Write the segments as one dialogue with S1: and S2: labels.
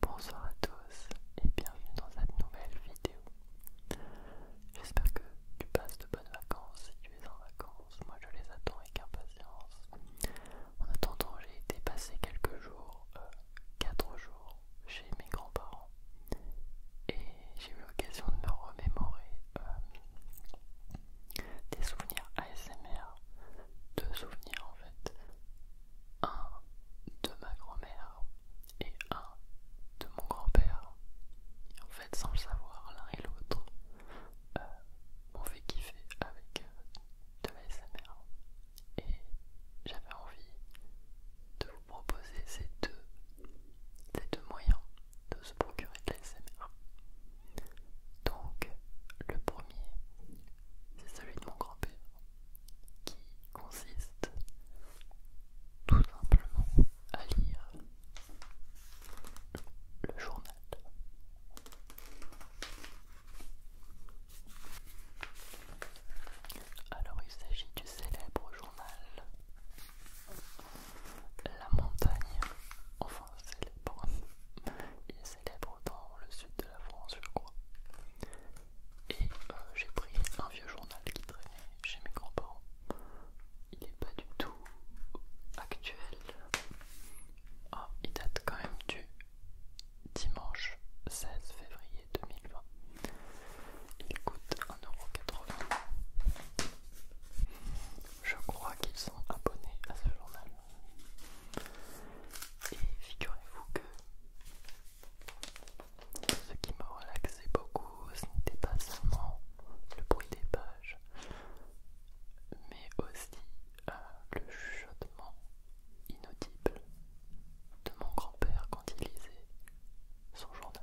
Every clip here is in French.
S1: Bonsoir à tous et bienvenue dans cette nouvelle vidéo. J'espère que tu passes de bonnes vacances si tu es en vacances. Moi je les attends avec impatience. En attendant, j'ai été passer quelques jours, euh, 4 jours, chez mes grands-parents et j'ai eu l'occasion de me remémorer euh, des souvenirs ASMR, deux souvenirs en fait un de ma grand-mère et un de mon grand-père. En fait, sans le savoir, l'un et l'autre euh, m'ont fait kiffer avec euh, de la SMR. Et j'avais envie de vous proposer ces deux, ces deux moyens de se procurer de la SMR. Donc, le premier, c'est celui de mon grand-père, qui consiste tout simplement à lire le journal. Alors il s'agit du célèbre journal La Montagne, enfin célèbre, célèbre dans le sud de la France, je crois. Et euh, j'ai pris un vieux journal qui traînait chez mes grands-parents. Il n'est pas du tout actuel. Ah, il date quand même du dimanche 16 février 2020. Il coûte 1,80€. Je crois qu'ils sont abonnés à ce journal. Et figurez-vous que ce qui me relaxé beaucoup, ce n'était pas seulement le bruit des pages, mais aussi euh, le chuchotement inaudible de mon grand-père quand il lisait son journal.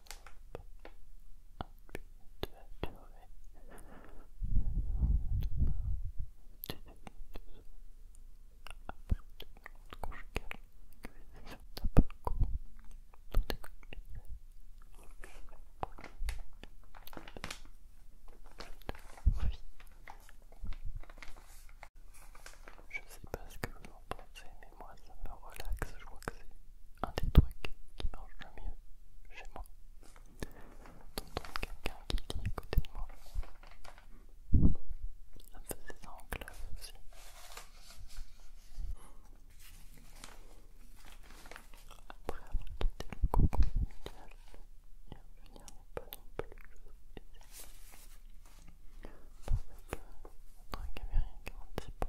S1: Je sais pas ce que vous en pensez, mais moi ça me relaxe. Je crois que c'est un des trucs qui marche le mieux chez moi. T'entends quelqu'un qui lit à côté de moi. Ça me faisait ça en classe aussi. Après avoir quitté le cocon familial, y revenir n'est pas non plus chose aisée. Parce que notre caméra est un petit peu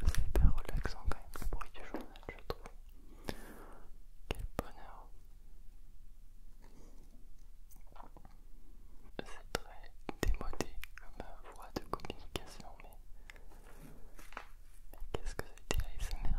S1: C'est hyper relaxant quand même le bruit du journal, je trouve. Quel bonheur. C'est très démodé comme voie de communication, mais, qu'est-ce que c'était ASMR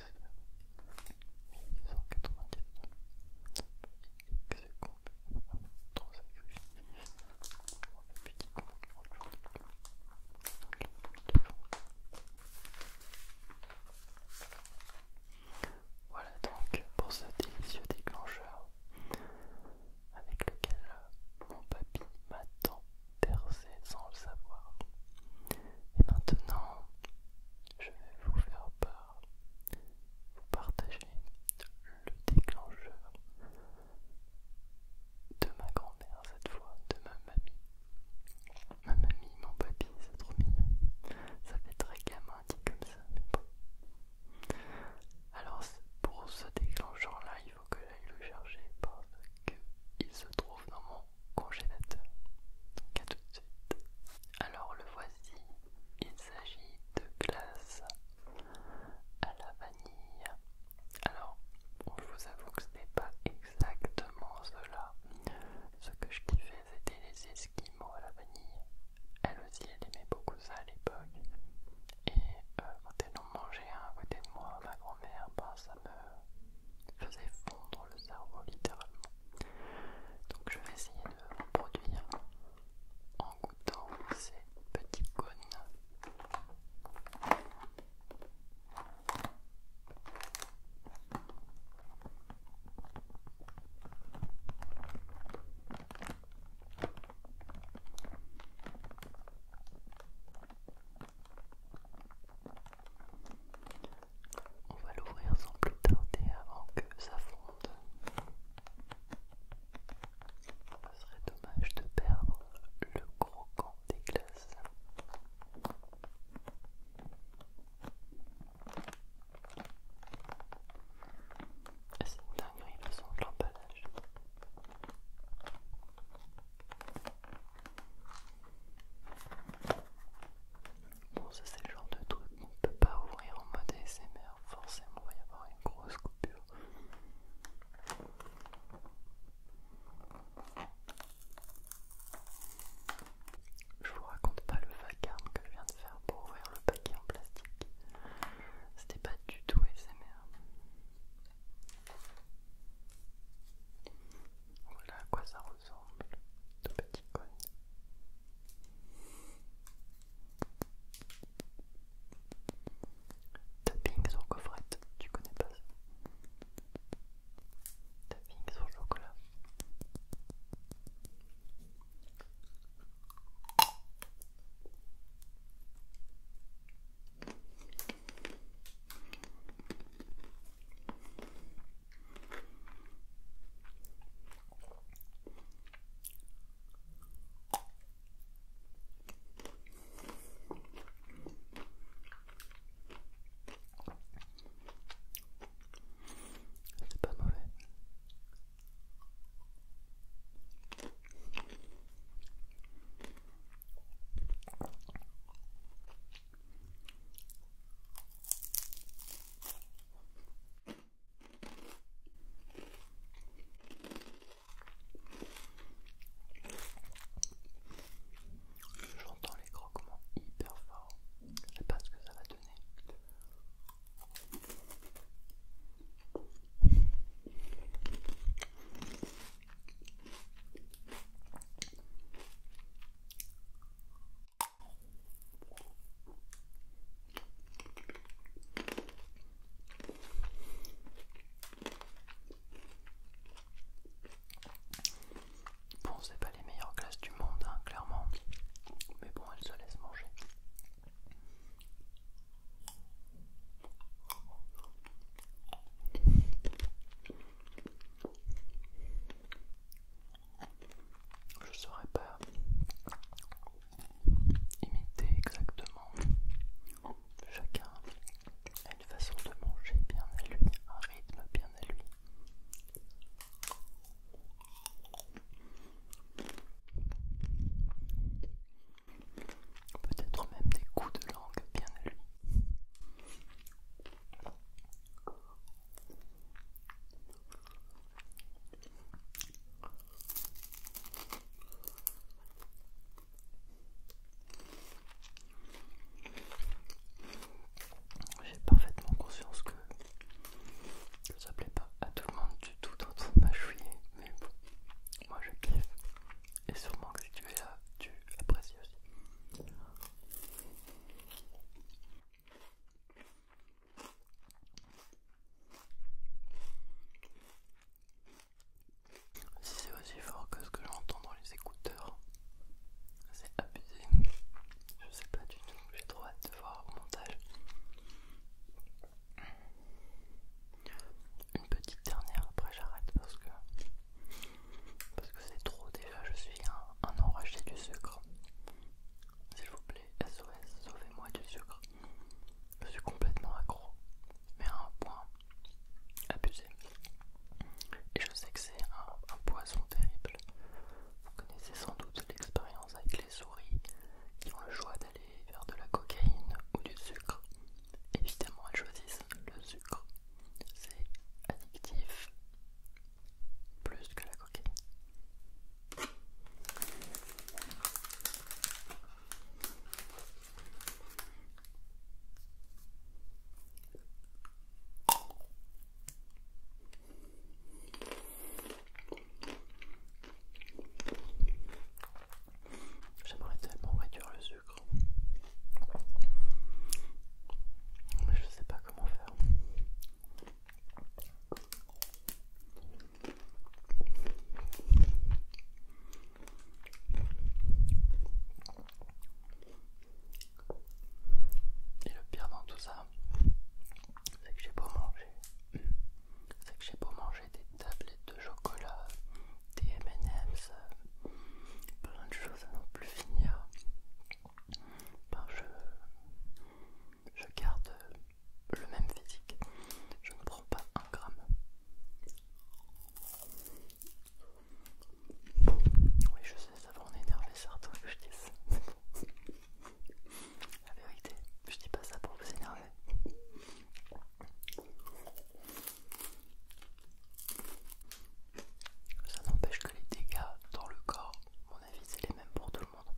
S1: Voilà donc pour ce délicieux déclencheur avec lequel mon papy m'a tant percé sans le savoir. Et maintenant, je vais vous faire part vous partager le déclencheur de ma grand-mère cette fois, de ma mamie. Ma mamie, mon papy, c'est trop mignon. Ça fait très gamin dit comme ça, mais bon. Alors pour ce déclencheur là, il faut que j'aille le chercher parce qu'il se trouve dans mon congélateur. Donc à tout de suite. Alors le voici, il s'agit de glace à la vanille. Alors je vous avoue que ce n'est pas exactement cela. Ce que je kiffais c'était les esquimaux à la vanille. Elle aussi elle aimait beaucoup ça à l'époque. Et euh, quand elle en mangeait un à côté de moi, ma grand-mère, ben, ça me faisait fondre le cerveau littéralement. Donc je vais essayer de reproduire en goûtant ces petits cônes. On va l'ouvrir sans plus tarder avant que ça fonde. Ce serait dommage de perdre le gros camp des glaces. Ah, c'est une dinguerie le son de l'emballage. Bon, ça c'est le genre de truc qu'on ne peut pas ouvrir en mode ASMR, forcément il va y avoir une grosse coupure. Je vous raconte pas le vacarme que je viens de faire pour ouvrir le paquet en plastique. C'était pas du tout ASMR. Voilà à quoi ça ressemble ressemblent de petits cônes. Tapping sur gaufrette, tu connais pas ça Tapping sur chocolat.
S2: C'est pas mauvais. J'entends les croquements hyper forts. Je sais pas ce que ça va donner. Bon, c'est pas les meilleures classes du monde, hein, clairement, mais bon, elles se laissent manger. Je ne saurais pas imiter exactement. Chacun a une façon de manger bien à lui, un rythme bien à lui. Peut-être même des coups de langue bien à lui.
S3: J'ai parfaitement conscience que, ça ça plaît pas à tout le monde du tout dans ma chouiller, mais bon, moi je kiffe et sûrement que si tu es là, tu apprécies aussi. Si c'est aussi fort que ce que j'entends dans les écouteurs, c'est abusé. Je sais pas du tout, j'ai trop hâte de voir au montage. Une petite dernière, après j'arrête parce que parce que c'est trop déjà, je suis un, enragé du sucre. S'il vous plaît, SOS, sauvez-moi du sucre. Je suis complètement accro, mais à un point abusé. Et je sais que c'est un, poison terrible. Vous connaissez sans doute l'expérience avec les souris qui ont le choix d'aller vers de la cocaïne ou du sucre. Évidemment, elles choisissent le sucre. C'est addictif, plus que la coquille. J'aimerais tellement réduire le sucre. Mais je sais pas comment faire. Et le pire dans tout ça, c'est que j'ai beau manger, c'est que j'ai beau manger des tablettes de chocolat, des M&M's, plein de choses à non plus finir. Ben, je, garde le même physique, je ne prends pas un gramme. Oui, je sais, ça va en énerver certains que je dis La vérité, je dis pas ça pour vous énerver. Ça n'empêche que les dégâts dans le corps, à mon avis, c'est les mêmes pour tout le monde.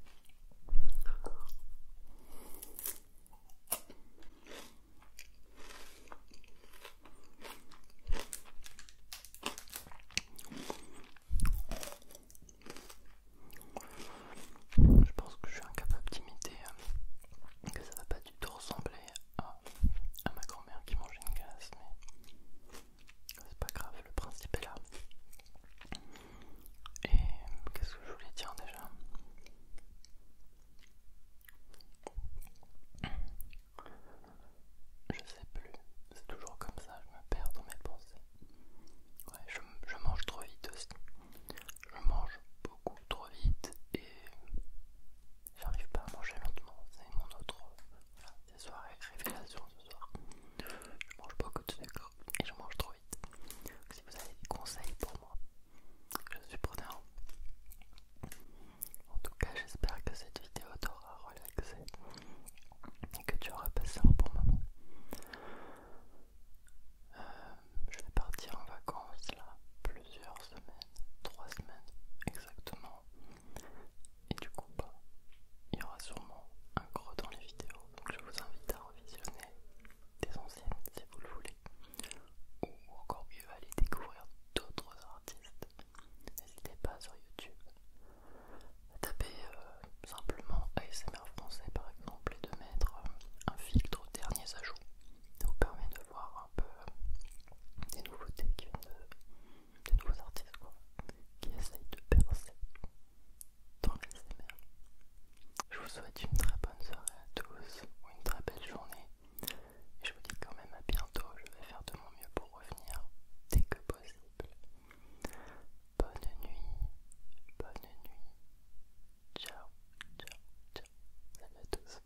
S3: Je pense que je suis incapable d'imiter, hein, que ça va pas du tout ressembler à à ma grand-mère qui mangeait une glace, mais c'est pas grave, le principe est là. Et qu'est-ce que je voulais dire déjà Je sais plus, c'est toujours comme ça, je me perds dans mes pensées. Ouais, je, mange trop vite aussi. Je mange beaucoup trop vite et j'arrive pas à manger lentement. C'est mon autre voilà, c'est soirée révélation ce soir. Je mange beaucoup de sucre et je mange trop vite. si vous avez des conseils pour moi, je suis preneur. En tout cas, j'espère que cette vidéo t'aura relaxé et que tu auras passé un bon moment. Euh, je vais partir en vacances là, plus semaines, trois semaines exactement. Et du coup, bah, il y aura sûrement un creux dans les vidéos. Donc je vous invite à revisionner des anciennes si vous le voulez. Ou encore mieux, aller découvrir d'autres artistes. N'hésitez pas sur YouTube à taper euh, simplement ASMR français par exemple et de mettre euh, un filtre aux derniers ajouts. Ça vous permet de voir un peu euh, des nouveautés qui viennent de des nouveaux artistes quoi, qui essayent de percer dans les Je vous souhaite une très bonne soirée à tous ou une très belle journée. Et je vous dis quand même à bientôt, je vais faire de mon mieux pour revenir dès que possible. Bonne nuit, bonne nuit. Ciao, ciao, ciao. Salut à tous.